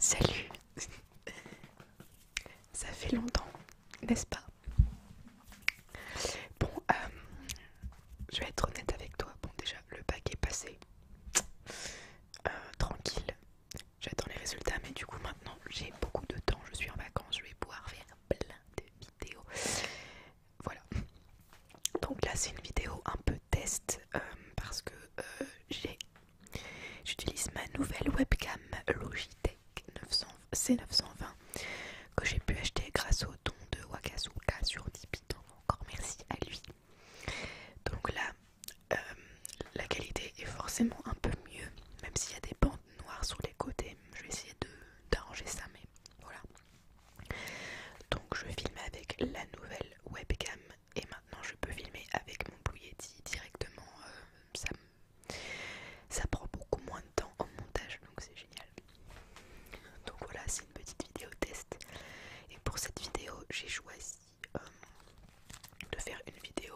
Salut Ça fait longtemps, n'est-ce pas Bon, euh, je vais être honnête avec toi. Bon, déjà, le bac est passé. Euh, tranquille. J'attends les résultats, mais du coup, maintenant, j'ai beaucoup de temps. Je suis en vacances, je vais pouvoir faire plein de vidéos. Voilà. Donc là c'est une vidéo un peu test euh, parce que euh, j'utilise ma nouvelle webcam Logitech C920 que j'ai pu acheter grâce au don de Wakasuka sur Tipeee. Donc encore merci à lui. Donc là euh, la qualité est forcément un peu mieux même s'il y a des bandes noires sur les côtés. Je vais essayer d'arranger ça mais voilà. Donc je filme avec la nouvelle webcam et maintenant je peux filmer avec mon Blue directement. Euh, ça, prend beaucoup moins de temps en montage donc c'est génial. Donc voilà, c'est une petite vidéo test. Et pour cette vidéo, j'ai choisi euh, de faire une vidéo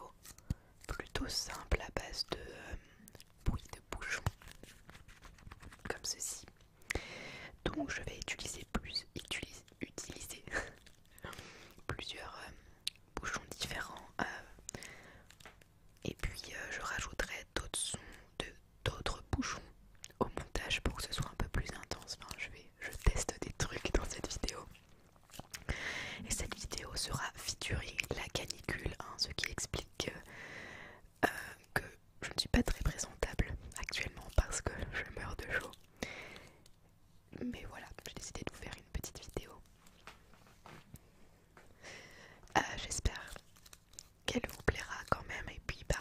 plutôt simple à base de euh, bruits de bouche comme ceci. Donc je vais utiliser plus utiliser, plusieurs euh, bouchons différents euh. et puis euh, je rajouterai d'autres sons de d'autres bouchons au montage pour que ce soit un peu plus intense. je teste des trucs dans cette vidéo. Et cette vidéo sera featuring la canicule, hein, ce qui explique que euh, que je ne suis pas très présentable actuellement parce que je meurs de chaud. Mais voilà, j'ai décidé de vous faire une petite vidéo. Euh, j'espère qu'elle vous plaira quand même et puis ben,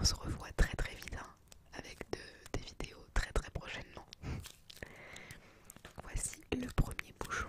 on se revoit très très vite hein, avec des vidéos très très prochainement. Voici le premier bouchon.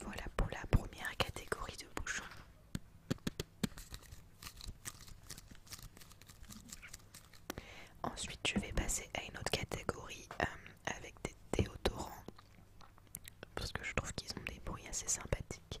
Voilà pour la première catégorie de bouchons. Ensuite, je vais passer à une autre catégorie euh, avec des déodorants parce que je trouve qu'ils ont des bruits assez sympathiques.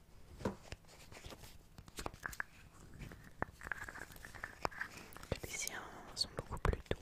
Les siens sont beaucoup plus doux.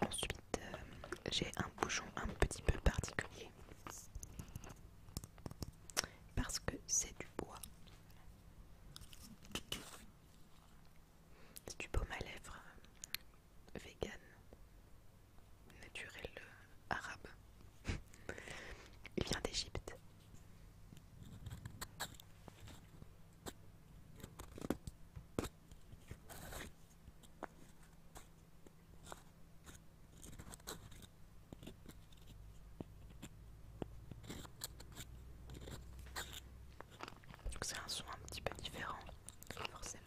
Ensuite, euh, j'ai un bouchon un petit peu particulier parce que c'est du bois. C'est du baume à lèvres euh, vegan, naturel euh, arabe. Il vient d'Égypte. C'est un son un petit peu différent, forcément.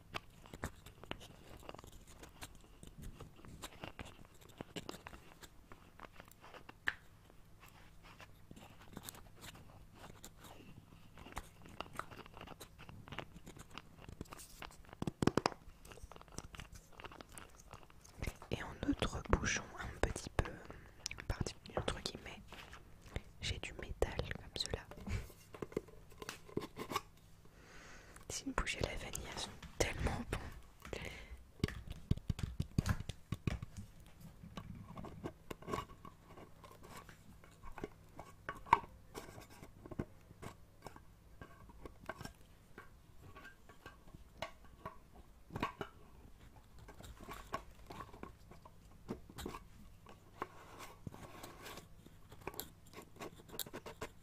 Et en outre bouchon un petit peu particulier entre guillemets, j'ai du métal comme cela. Si me bougez la vanille, elles sont tellement bon.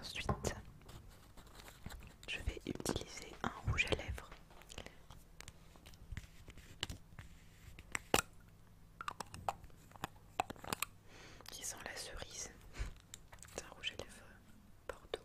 Ensuite, je vais utiliser un rouge à lèvres. Qui sent la cerise. C'est un rouge à lèvres Bordeaux.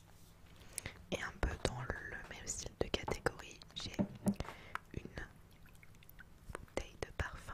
Et un peu dans le même style de catégorie, j'ai une bouteille de parfum.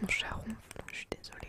Mon charron, je suis désolée.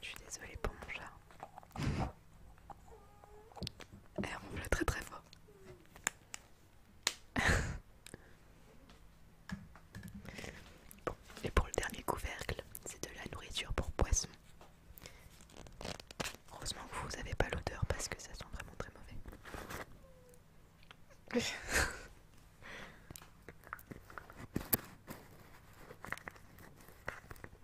Je suis désolée pour mon chat. Elle ronfle très très fort. bon, et pour le dernier couvercle, c'est de la nourriture pour poissons. Heureusement que vous n'avez pas l'odeur parce que ça sent vraiment très mauvais.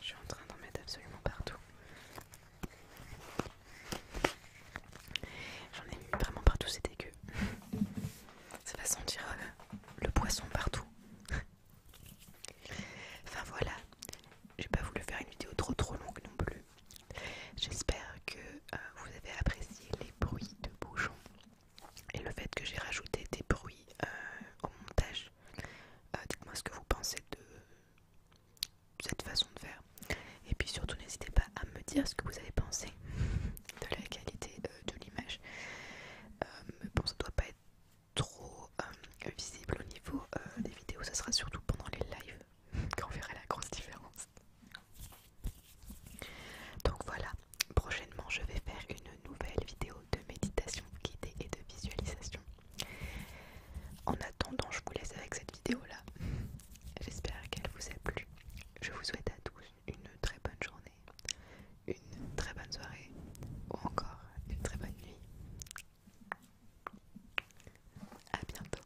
Je suis en train d'en mettre absolument partout. J'en ai mis vraiment partout, c'est dégueu. Ça va sentir euh, le poisson partout. enfin voilà, j'ai pas voulu faire une vidéo trop trop longue non plus. J'espère que euh, vous avez apprécié les bruits de bouchons et le fait que j'ai rajouté des bruits euh, au montage. Euh, dites-moi ce que vous pensez de cette façon de faire. Et puis surtout, n'hésitez pas à me dire ce que vous avez pensé de la qualité de l'image. bon, ça doit pas être trop visible au niveau des vidéos, ça sera surtout pendant les lives qu'on verra la grosse différence. Donc voilà, prochainement je vais faire une nouvelle vidéo de méditation guidée et de visualisation. En attendant, je vous laisse avec cette vidéo-là. J'espère qu'elle vous a plu. Je vous souhaite à tous une très bonne journée, une très bonne soirée ou encore une très bonne nuit. A bientôt.